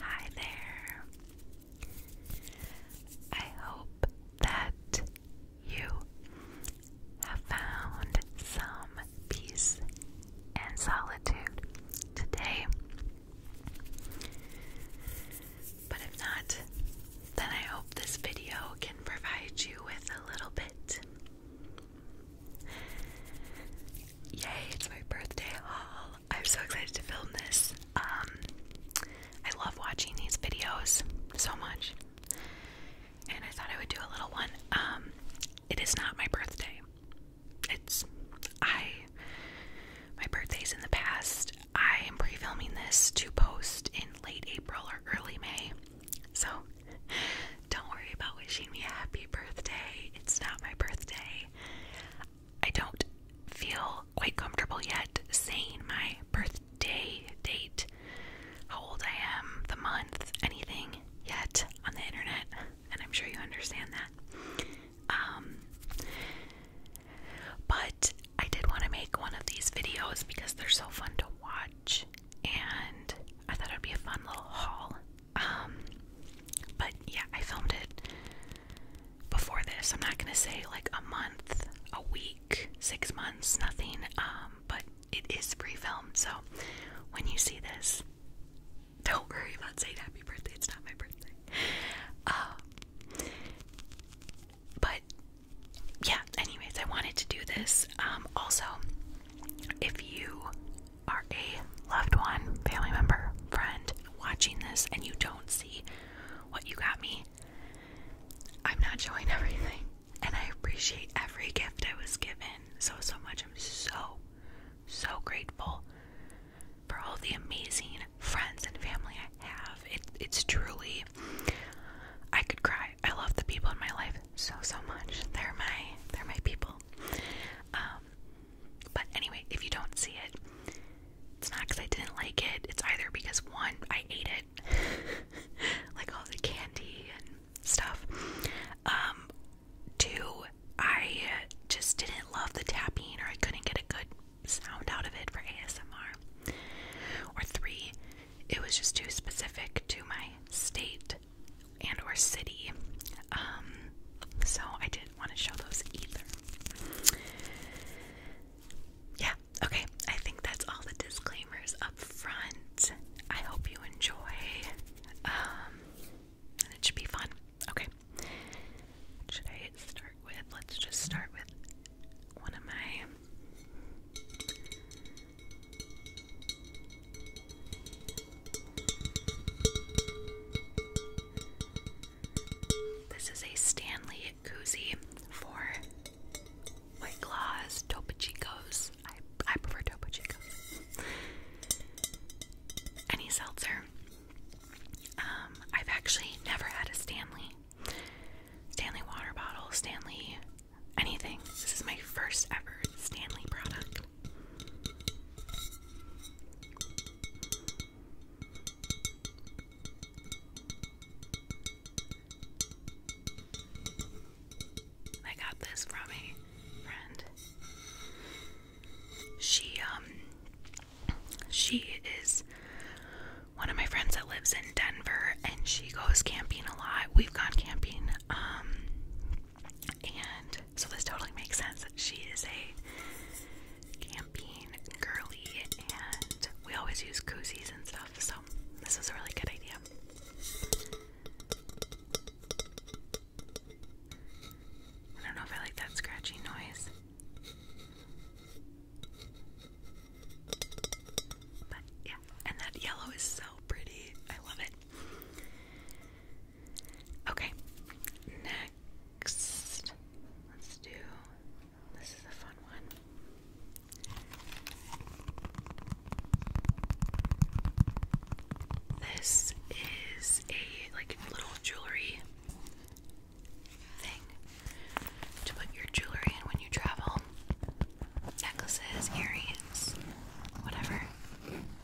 Hi there. I hope that you have found some peace and solitude today. But if not, then I hope this video can provide you with a little bit Yay, it's my birthday haul. I'm so excited to film this. Um I love watching these videos so much. And I thought I would do a little one. Um it is not my birthday. It's I my birthday's in the past. I am pre-filming this to post in late April or early May. So don't worry about wishing me a happy birthday. It's not my birthday. I don't feel quite comfortable yet saying my birthday date, how old I am, the month, anything yet on the internet, and I'm sure you understand that. Um, but I did want to make one of these videos because they're so fun to watch, and I thought it would be a fun little haul um, but yeah, I filmed it before this. I'm not gonna say like a month, a week, six months, nothing. Um, but it is pre-filmed, so when you see this, don't worry about saying happy birthday. It's not my birthday. Um, but yeah. Anyways, I wanted to do this. Um, also, if you are a loved one, family member, friend watching this and you don't see what you got me, I'm not showing everything. And I appreciate every gift I was given so, so much. I'm so, so grateful for all the amazing friends and family I have. It, it's truly, I could cry. I love the people in my life so, so much. They're my, they're my people. Um, but anyway, if you don't see it, it's not because I didn't like it. It's either because one, I ate it, like all the candy and stuff. Um, two, I just didn't love the tapping, or I couldn't get a good sound out of it for ASMR. Or three, it was just too specific to my state and or city. Um, so I didn't want to show those either. Yeah, okay. I think that's all the disclaimers up front. I hope you enjoy. Um, it should be fun. Okay. should I start with? Let's just start with one of my this is a Stanley koozie for White Claws, I, I prefer Topo Any seltzer. Um, I've actually never had a Stanley. Stanley water bottle, Stanley anything. This is my first ever Stanley product. I got this from a friend. She um she is one of my friends that lives in Denver and she goes camping a lot. We've gone camping um and so this totally makes sense. She is a camping girly, and we always use koozies and stuff. So this is a really good idea. I don't know if I like that scratchy noise. But yeah, and that yellow is so pretty. I love it. Okay, let's do this is a fun one. This is a like little jewelry thing to put your jewelry in when you travel. Necklaces, earrings, whatever.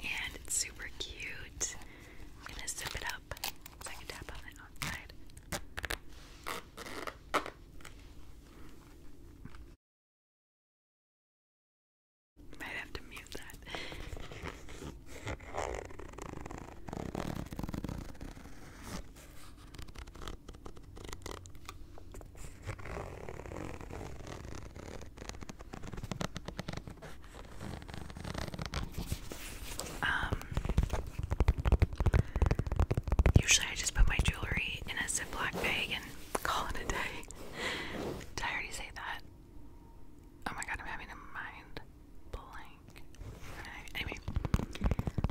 and it's super cute. I'm gonna zip it up I can tap on the outside. Might have to mute that. Um, usually I just put my jewelry in a Ziploc bag and call it a day. Did I already say that? Oh my god, I'm having a mind blank.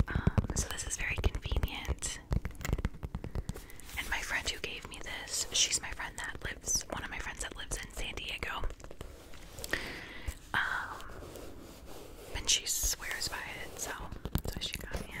Um, so this is very convenient. And my friend who gave me this, she's my friend that lives, one of my friends that lives San Diego. Um, and she swears by it, so so she got me it.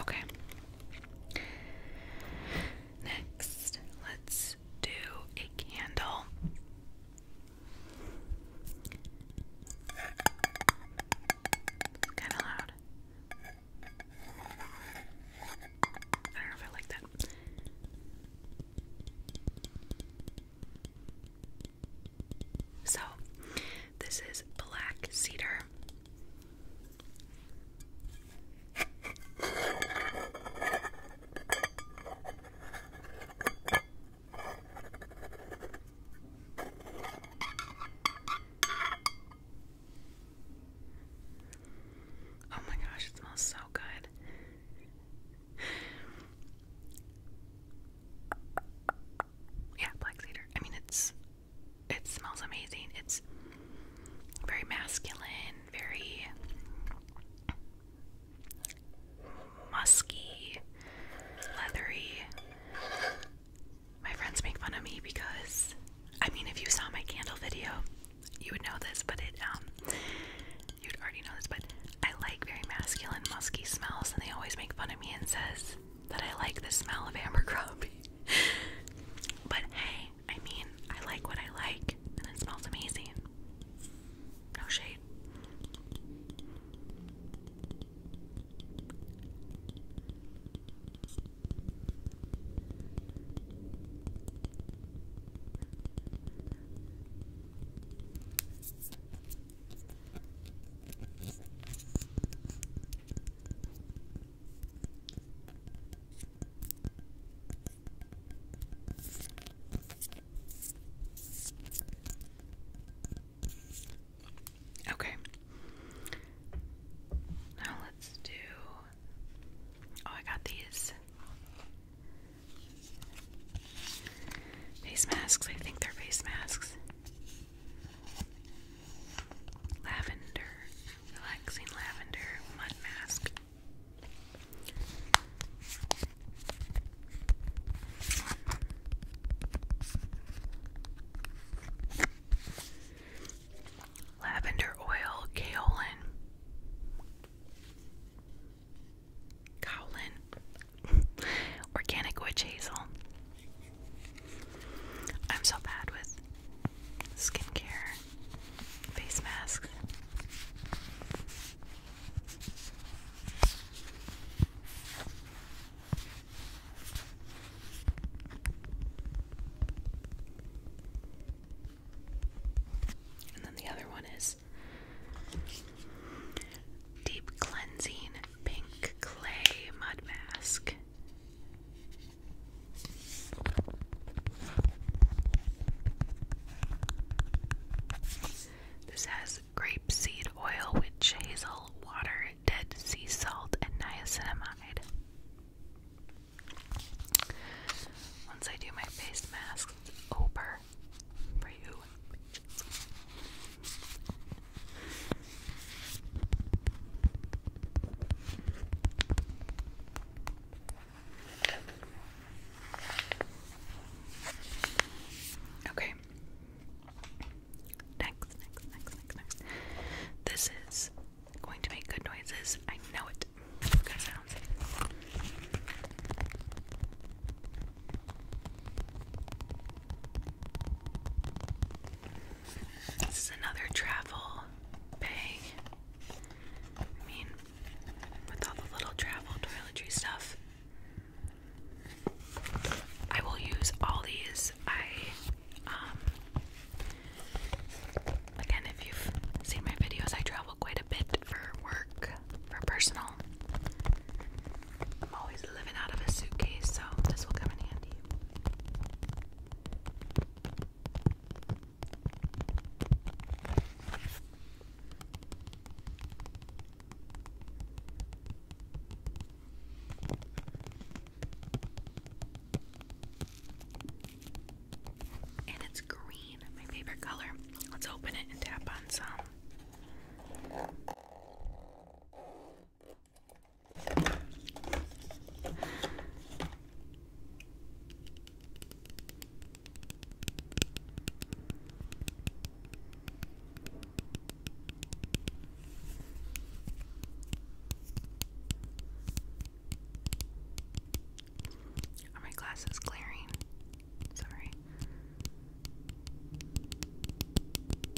Okay. Next, let's do a candle. kind of loud. I don't know if I like that. So, this is black cedar. Oh my gosh, it smells so good. Yeah, black cedar. I mean, it's it smells amazing. It's very masculine, very musky, leathery. My friends make fun of me because I mean, if you saw my candle video, you would know this, but it um you'd already know this, but I like very masculine, musky smells, and they always make fun of me and says that I like the smell of Abercrombie. but hey, I mean, I like what I like, and it smells amazing. No shade. Okay. Now let's do. Oh, I got these face masks. I think they're face masks. Lavender, relaxing lavender mud mask. Lavender oil, kaolin. Kaolin. Organic witch hazel. I'm so bad with skincare, face masks. And then the other one is Deep Cleansing Pink Clay Mud Mask. This has grape seed oil, witch hazel, water, dead sea salt, and niacinamide. Once I do my face mask, over for you. Okay. Next, next, next, next, next. This is going to make good noises. I know it. This is another travel bag. I mean, with all the little travel toiletry stuff. I will use all these. I, um, again, if you've seen my videos, I travel quite a bit for work, for personal. I'm always living out of a suitcase, so this will come in handy. And it's green, my favorite color. Let's open it and tap on some. Are oh, my glasses clearing? Sorry.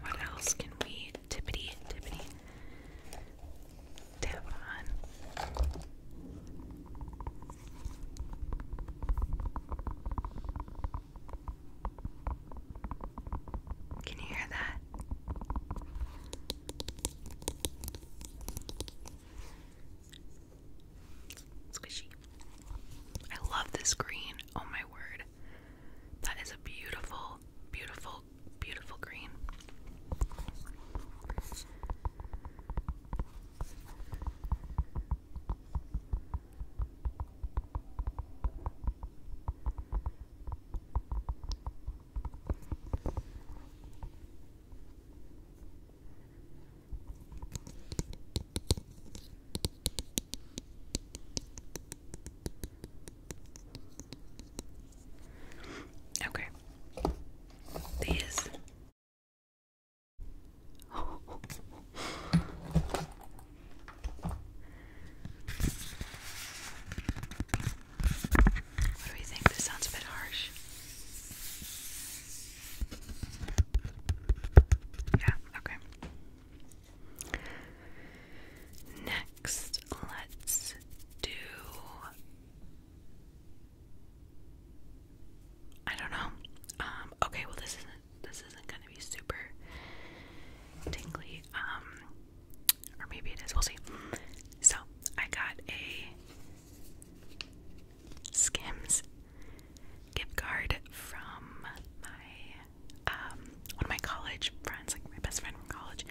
What else can we tippity tippity tap on? Can you hear that? Squishy. I love this green. Oh my word. That is a beautiful beautiful, beautiful, green. Okay. These. What do we think? This sounds a bit harsh. Yeah, okay. Next let's do. I don't know. Um, okay, well this isn't this isn't gonna be super tingly. Um or maybe it is, we'll see. So I got a Skims gift card from my um, one of my college friends, like my best friend from college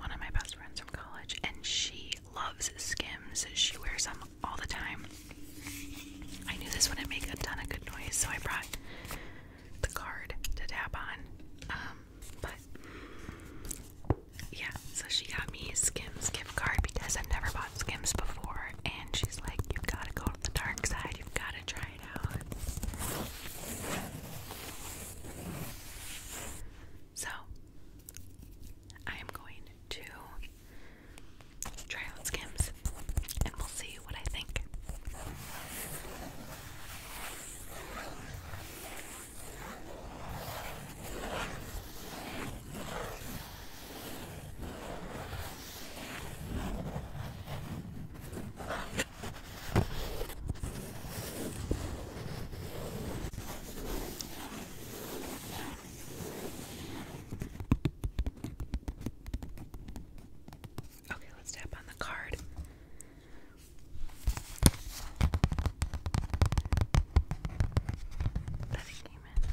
one of my best friends from college, and she loves Skims. She wears them all the time. I knew this wouldn't make a ton of good noise, so I brought the card to dab on. Um, but yeah, so she got me a Skims gift card because I've never bought Skims before, and she's like, You've got to go to the dark side, you've got to try so, I am going to try out skims and we'll see what I think. Okay, let's tap on the card. That it came in.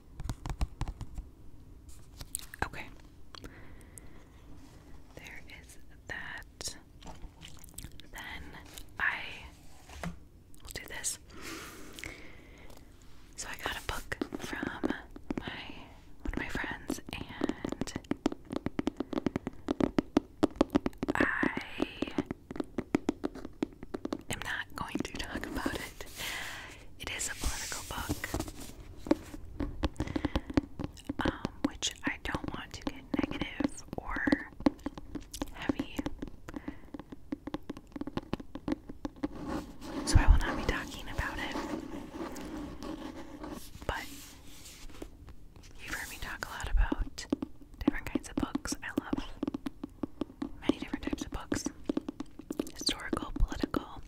Okay. There is that. Then I will do this. So I got a book from my one of my friends and I i am not going to talk about it. It is a political book, um, which I don't want to get negative or heavy. So I will not be talking about it. But you've heard me talk a lot about different kinds of books I love many different types of books historical, political,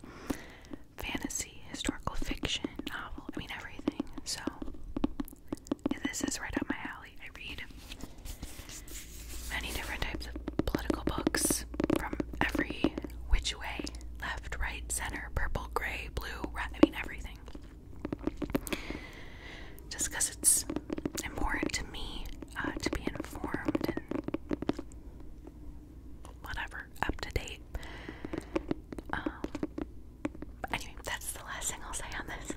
fantasy, historical fiction, novel, I mean, everything. So, this is right up my alley. I read many different types of political books from every which way left, right, center, purple, gray, blue, red, I mean, everything. Just because it's important to me uh, to be informed and whatever, up to date. Um, anyway, that's the last thing I'll say on this.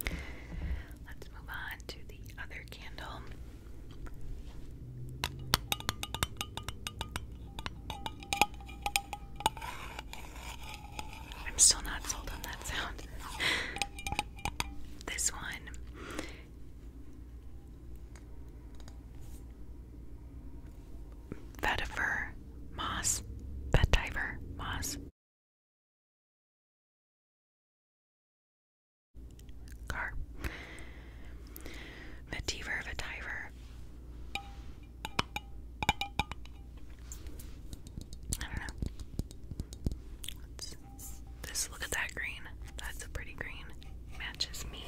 Let's move on to the other candle. I'm still not sold on that sound. this one. Vetiver moss, vetiver moss, Car. Vetiver, vetiver. I don't know. let look at that green. That's a pretty green. Matches me.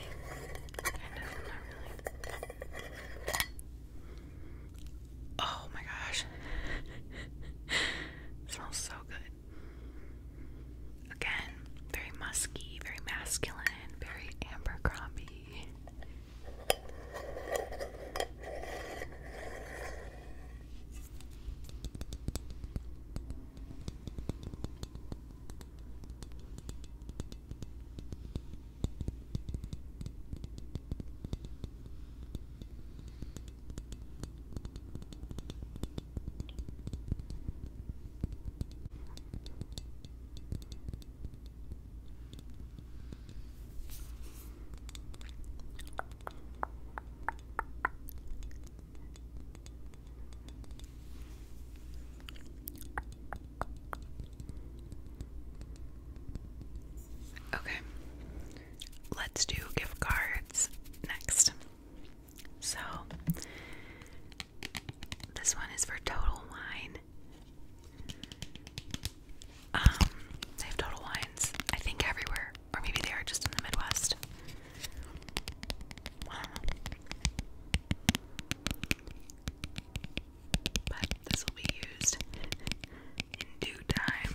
Kind of, not really. Oh my gosh. smells so good. Again, very musky, very masculine, very Abercrombie. Okay, let's do gift cards next. So, this one is for Total Wine. Um, they have Total Wines, I think, everywhere, or maybe they are just in the Midwest. But this will be used in due time.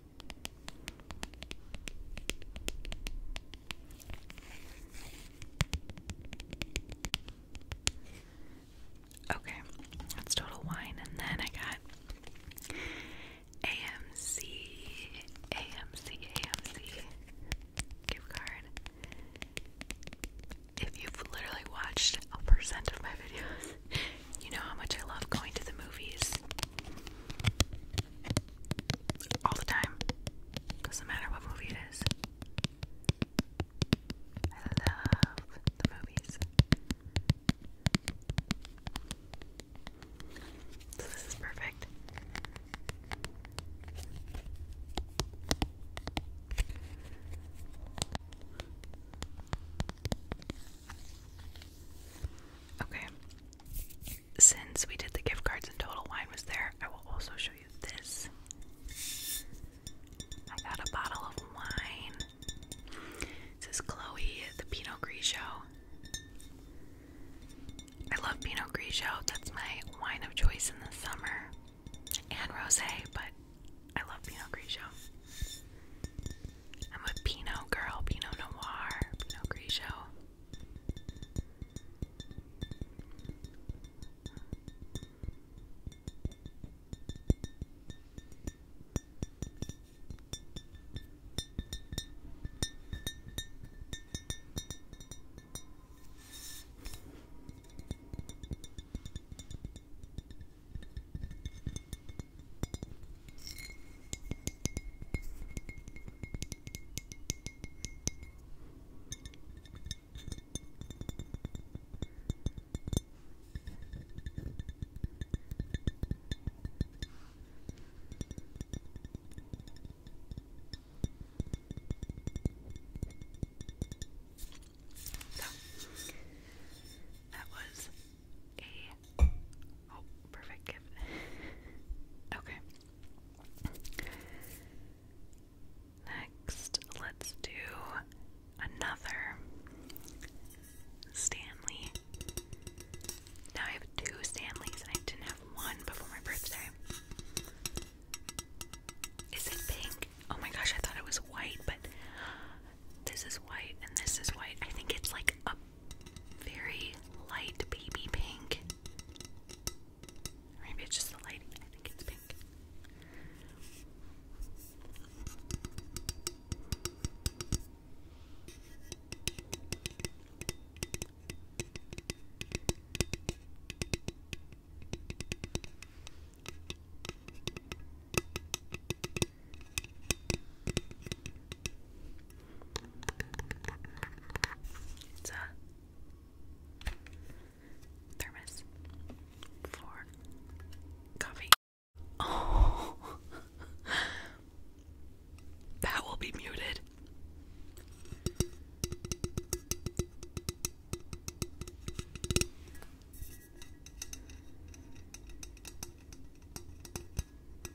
Okay, that's total wine, and then I got AMC, AMC, AMC gift card. If you've literally watched a percent of my videos, you know how much I love going to the movies all the time. Doesn't matter what movie it is. I love the movies. So this is perfect. Okay. Since we did the gift cards and Total Wine was there, I will also show you this. I got a bottle of wine. It says Chloe, the Pinot Grigio. I love Pinot Grigio. That's my wine of choice in the summer. And rosé, but I love Pinot Grigio. I'm a Pinot girl, Pinot Noir, Pinot Gris, Grigio. So, that was a oh perfect gift. okay. Next, let's do another Stanley. Now I have two Stanleys, and I didn't have one before my birthday. Is it pink? Oh my gosh, I thought it was white, but this is white and this is white. I think it's like a very light baby pink. Or maybe it's just the lighting. I think it's pink. It's a thermos for coffee. Oh, that will be muted.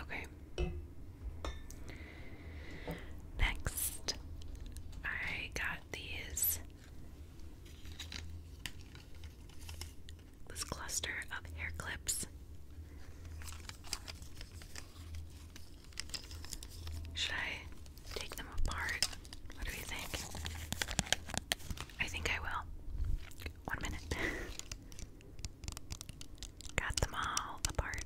Okay. Next, I got these this cluster of hair clips. Should I take them apart? What do you think? I think I will. One minute. Got them all apart.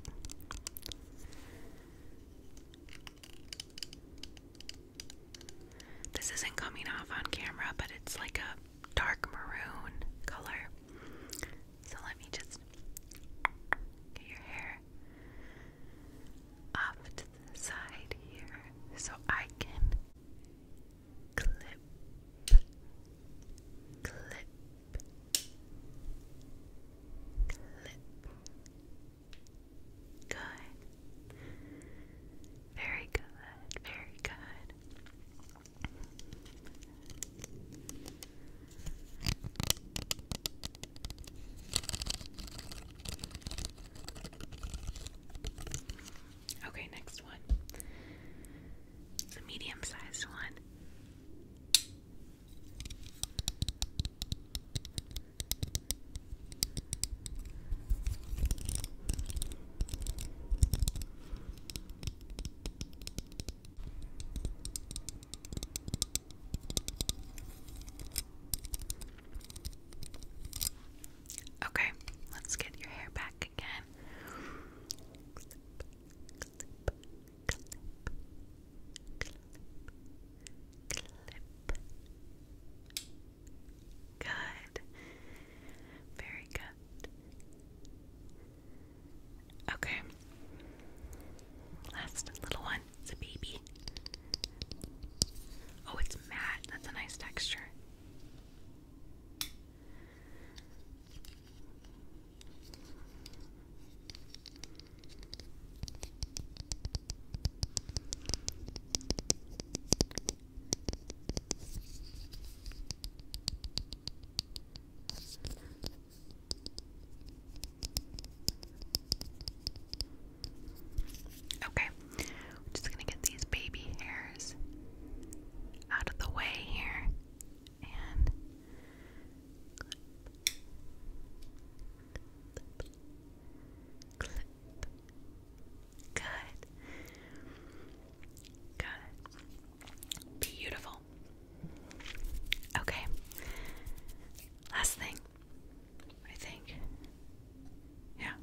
This isn't coming off on camera, but it's like a dark maroon color. So let me just get your hair off to the side here so I can clip, clip, Good. Very good. Very good. Okay, next one. It's a medium sized one. Okay, let's get your hair back back again. Clip, clip, clip, clip, clip. Good. Very good. Okay. Last little one. It's a baby. Oh, it's matte. That's a nice texture. Okay, we're just gonna get these baby hairs out of the way here and Good. Good. Beautiful. Okay. Last thing, I think. Yeah.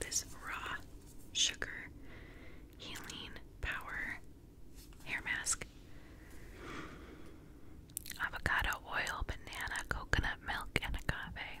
This raw sugar healing power hair mask. Avocado oil, banana, coconut milk, and agave.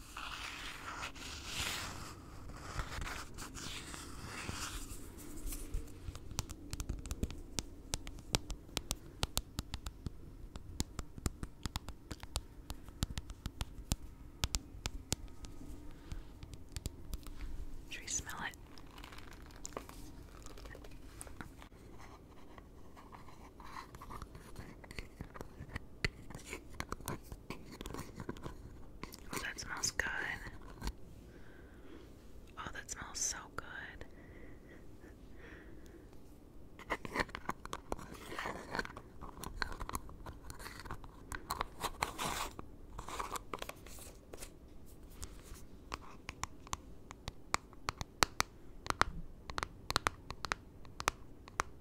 Should we smell it? Oh, that smells good. Oh, that smells so good.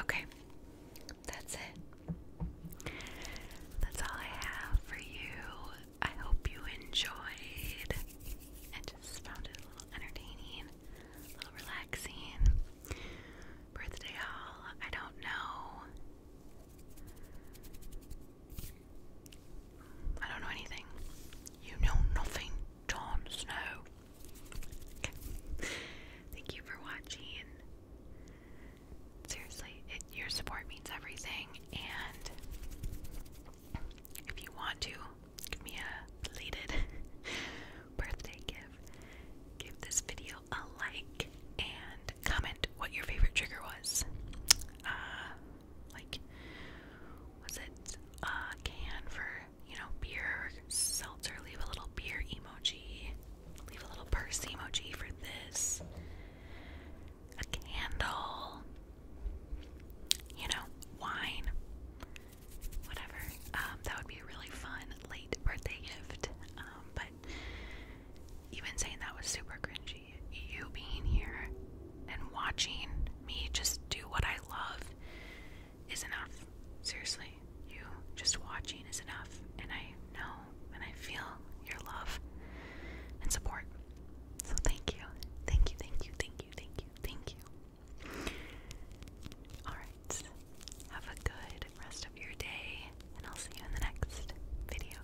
Okay, that's it. That's all I have for you. I hope you enjoyed. I just found it a little entertaining, a little relaxing. Birthday haul, I don't know. I don't know anything. You know nothing. Jon Snow. Thank you for watching. Seriously, your support means everything. And if you want to give me a belated birthday gift, give this video a like and comment what your favorite trigger was. Uh, like was it a can for you know beer seltzer leave a little beer emoji leave a little purse emoji for this a candle you know wine whatever um, that would be a really fun late birthday gift um, but been saying that was super cringy you being here and watching me just do what I love is enough. Seriously, you just watching is enough. And I know and I feel your love and support. So thank you. Thank you, thank you, thank you, thank you, thank you. Alright, have a good rest of your day, and I'll see you in the next video.